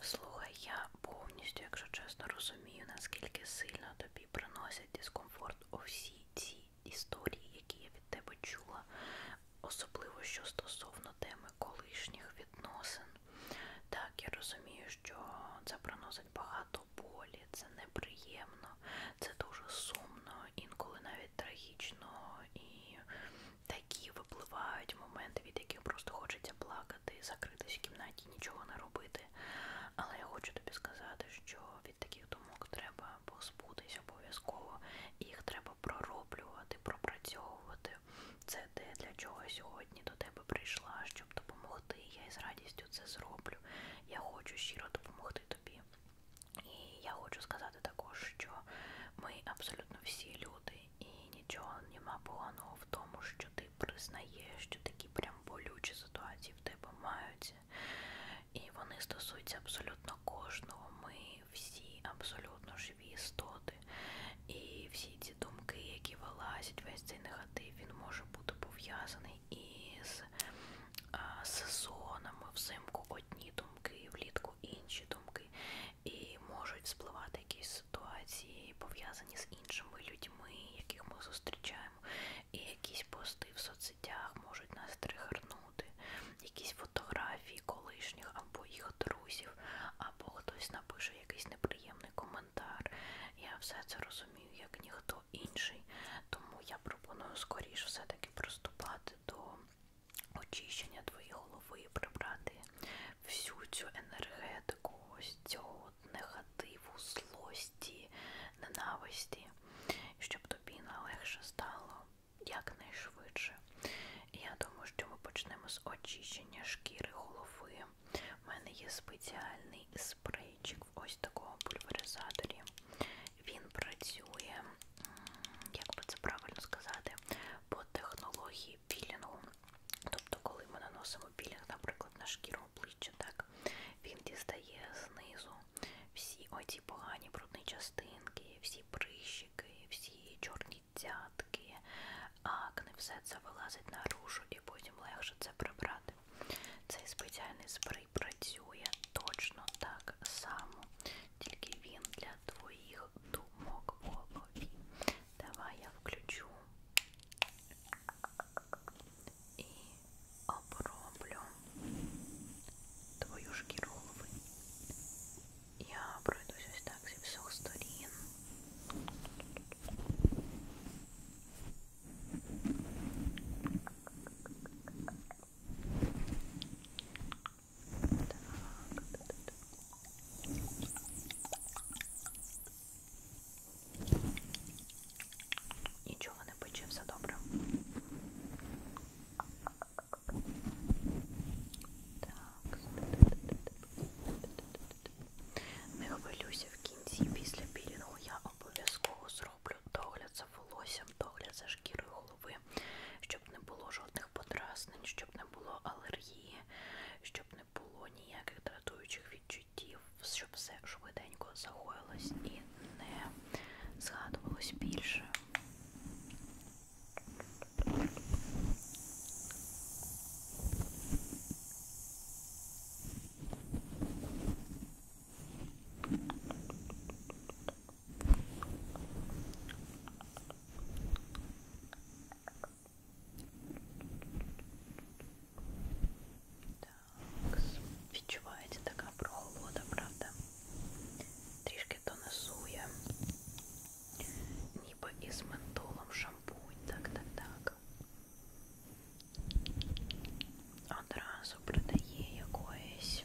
Слухай, я повністю, якщо чесно, розумію, наскільки сильно тобі приносять дискомфорт усі ці історії, які я від тебе чула, особливо що стосовно теми колишніх відносин. Так, я розумію, що це приносить багато болі, це неприємно, це дуже сумно інколи навіть трагічно, і такі випливають моменти, від яких просто хочеться плакати, закритись в кімнаті, нічого не робити. Але я хочу тобі сказати, що від таких думок треба позбутись обов'язково, їх треба пророблювати, пропрацьовувати. Це те, для чого я сьогодні до тебе прийшла, щоб допомогти. Я із радістю це зроблю. Я хочу щиро допомогти тобі. І я хочу сказати також, що ми абсолютно всі люди, і нічого нема поганого в тому, що ти признаєш, що такі прям болючі ситуації в тебе маються. І вони стосуються абсолютно кожного. Ми всі абсолютно живі істоти. І всі ці думки, які вилазять, весь цей негатив, він може бути пов'язаний із Е, сезонами взимку одні думки, влітку інші думки, і можуть спливати якісь ситуації, пов'язані з іншими людьми, яких ми зустрічаємо, і якісь пости в соцсетях можуть нас тригернути, якісь фотографії колишніх або їх друзів, або хтось напише якийсь неприємний коментар. Я все це розумію, як ніхто інший, тому я пропоную скоріше все-таки приступати до очищення твоєї голови, прибрати всю цю енергетику, ось цього негативу, злості, ненависті, щоб тобі налегше стало якнайшвидше. Я думаю, що ми почнемо з очищення шкіри голови. У мене є спеціальний спрейчик ось такого пульверизаторі. Він працює, як би це правильно сказати, по технології пілінгу. Тобто, коли ми наносимо пілінг, наприклад, на шкіру обличчя, так, він дістає знизу всі оці погані брудні частинки, всі прищики, всі чорні цятки, акне, все це вилазить наружу і потім легше це прибрати. Цей спеціальний спрей і працює точно так само, тільки він для твоїх думок в голові. Давай я включу і оброблю твою шкіру голови. Я пройдусь ось так зі всіх сторін. Нічого не пече, все добре. Так. Не хвилюся в кінці після пілінгу я обов'язково зроблю догляд за волоссям, догляд за шкірою голови, щоб не було жодних подразнень, щоб не було алергії, щоб не було ніяких дратуючих відчуттів, щоб все швиденько загоїлось і не згадувалось більше. Так, відчувається така прохолода, правда? Трішки донесує. Ніби із ментолом шампунь, так, так, так. Одразу придає якоїсь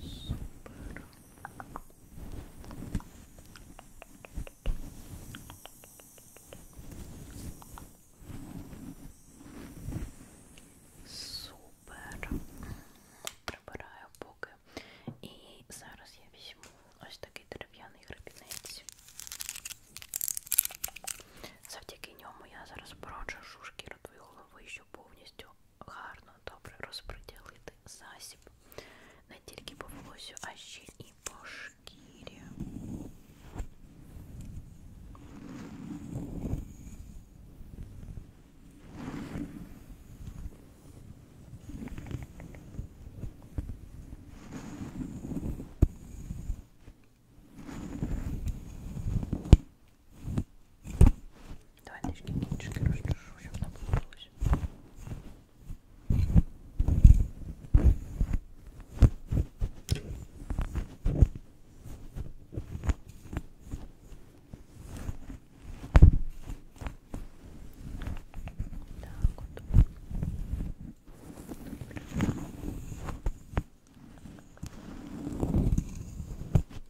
Супер. Супер. Прибираю поки. І зараз я візьму ось такий дерев'яний гребінець. Завдяки ньому я зараз породжу шкіру твоєї голови, щоб повністю гарно, добре розподілити засіб не тільки по волосю, а ще і по шкірі. Давай нычки, нычки, разрешу, чтобы она получилась. Так вот. Добрый.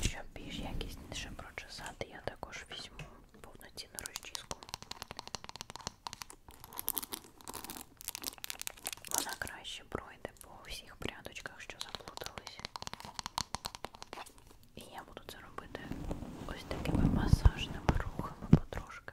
Щоб більш якісніше прочесати, я також візьму повноцінну розчіску. Вона краще пройде по всіх прядочках, що заплутались. І я буду це робити ось такими масажними рухами потрошки.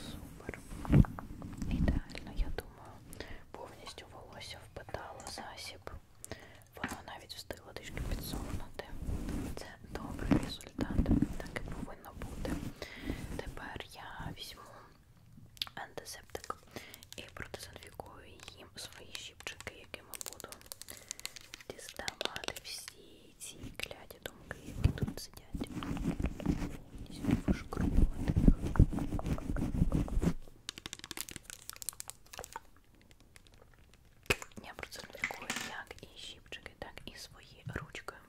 Супер. Ідеально, я думаю, повністю волосся впитало засіб. Воно навіть встигло трішки підсохнути. Це добрий результат, так і повинно бути. Тепер я візьму антисептик і продезінфікую їм свої щіпчики, якими буду діставати всі ці кляді думки, які тут сидять. Вишкрубувати їх. Я продезінфікую як і щіпчики, так і свої ручки.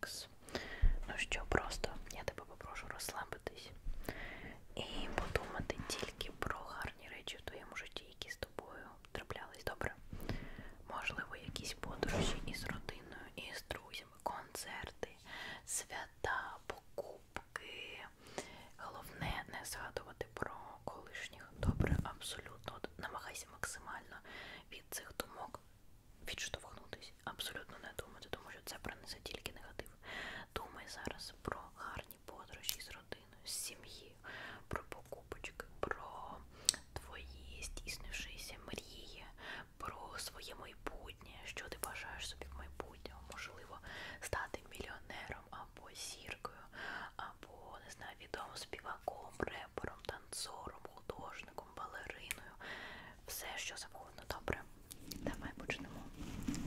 Такс. Ну що, просто я тебе попрошу розслабитись і подумати тільки про гарні речі в твоєму житті, які з тобою траплялись добре. Можливо, якісь подорожі із родиною, із друзями, концерти, свята, покупки. Головне не згадувати про колишніх. Добре, абсолютно. Намагайся максимально від цих думок відштовхнутися. Абсолютно не думати, тому що це принесе тільки негатив. Думай зараз про гарні подорожі з родиною, з сім'єю, про покупочки, про твої здійснившися мрії, про своє майбутнє, що ти бажаєш собі в майбутньому, можливо, стати мільйонером або зіркою, або не знаю, відомим співаком, репером, танцором, художником хореографом, балериною, все що завгодно добре. Давай почнемо. Добре.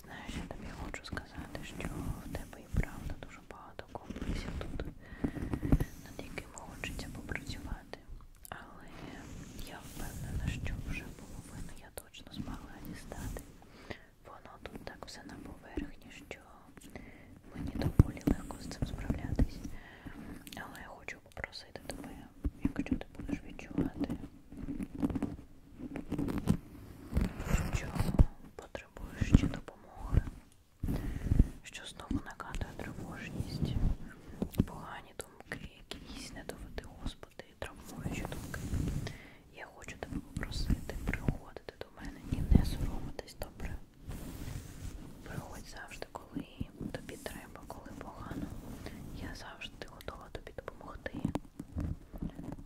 Знаєш, я тобі хочу сказати, що в тебе і правда дуже багато комплексів тут, над яким хочеться попрацювати. Але я впевнена, що вже половину я точно змогла дістати. Воно тут так все на поверхні, що мені доволі легко з цим справлятись. Але я хочу попросити тебе, якщо ти будеш відчувати, що потребуєш ще допомоги, що знову накатує тривожність, погані думки, якісь не доведи Господи, травмуючі думки. Я хочу тебе попросити приходити до мене і не соромитись добре. Приходь завжди, коли коли тобі треба, коли погано. Я завжди готова тобі допомогти,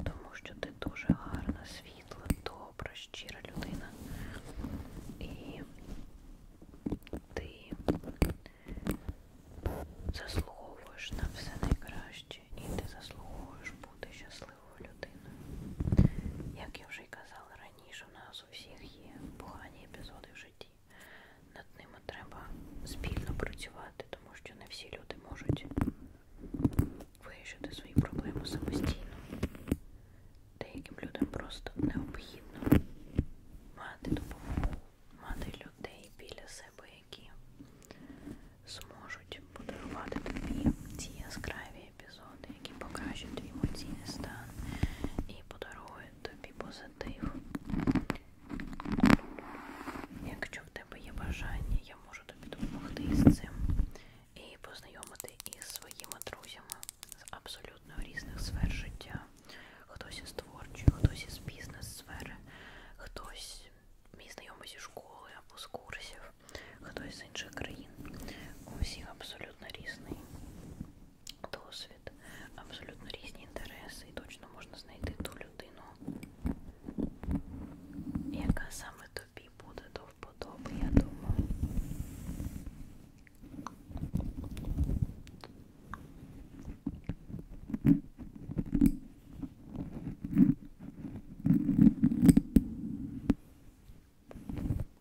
тому що ти дуже гарна, світла, добра, щира людина. І ти заслуговуєш на все найкраще і ти заслуговуєш бути щасливою людиною. Як я вже й казала раніше, у нас у всіх є погані епізоди в житті над ними треба спільно працювати, тому що не всі люди можуть вирішити свої проблеми самостійно. Деяким людям просто необхідно мати допомогу, мати людей біля себе, які зможуть подарувати тобі ці яскраві епізоди, які покращать твій емоційний стан і подарують тобі позитив позитив. Якщо в тебе є бажання, я можу тобі допомогти з цим і познайомити із своїми друзями з абсолютно різних сфер життя. Хтось із творчої, хтось із бізнес-сфери, хтось мій знайомий зі школи або з курсів, хтось з інших країн. У всіх абсолютно різний досвід, абсолютно різні інтереси, і точно можна знайти ту людину, яка саме тобі буде до вподоби, я думаю.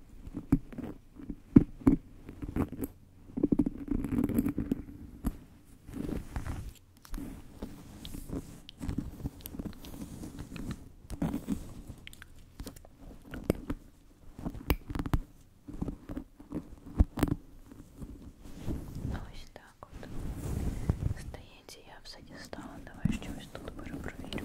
Ось так от. Здається, я все дістала. Давай щось тут перепровірю.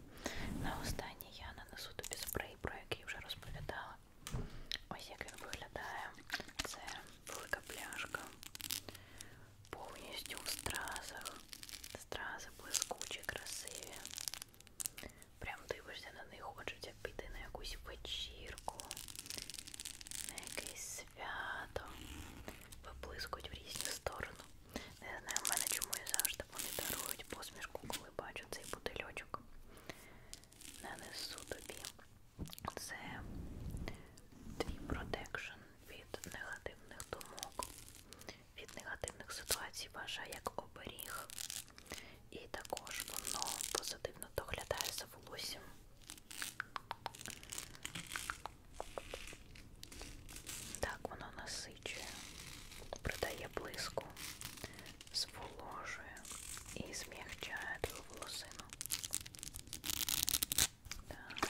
На останній я нанесу тобі спрей, про який вже розповідала. Ось як він виглядає. Це велика пляшка. Повністю в стразах. Стрази блискучі, красиві. Прям дивишся на них, хочеться піти на якусь вечірку, на якесь свято. Виблискують в різні сторони. Не знаю, в мене чому я завжди вони дарують посмішку, коли бачу цей бутильочок. Нанесу тобі. Це твій протекшн від негативних думок, від негативних ситуацій ваша як оберіг. І також воно позитивно доглядає за волоссям. Так, воно насичує, придає придає блиску, зволожує і змягчає твою волосину. Так.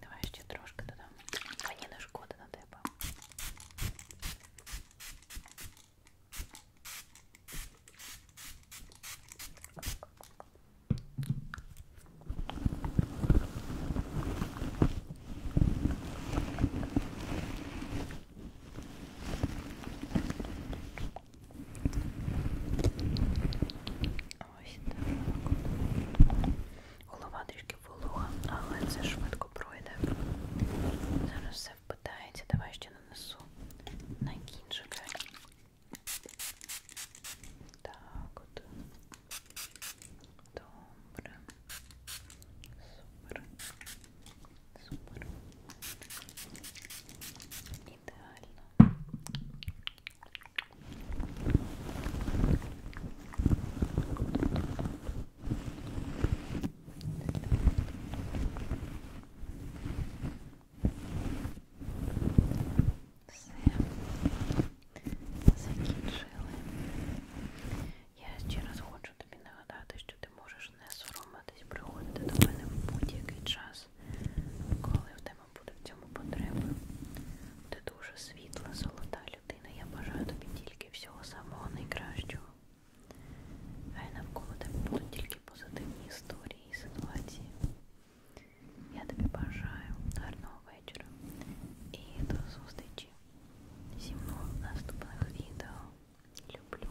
Давай ще трошки додамо. Мені не шкода на тебе. Ось так. Голова трішки волога, але це швидко пройде. Зараз все впитається. Давай ще нанесу на кінчики. Так от. Добре. Супер. Супер. Ідеально. Все закінчили. Я ще раз хочу тобі нагадати, що ти можеш не соромитись приходити до мене в будь-який час час, коли в тебе буде в цьому потреба. Ти дуже світла, золота людина. Я бажаю тобі тільки всього самого найкращого. Хай навколо тебе будуть тільки позитивні історії і ситуації. Я тобі бажаю гарного вечора і до зустрічі зі мною в наступних відео. Люблю.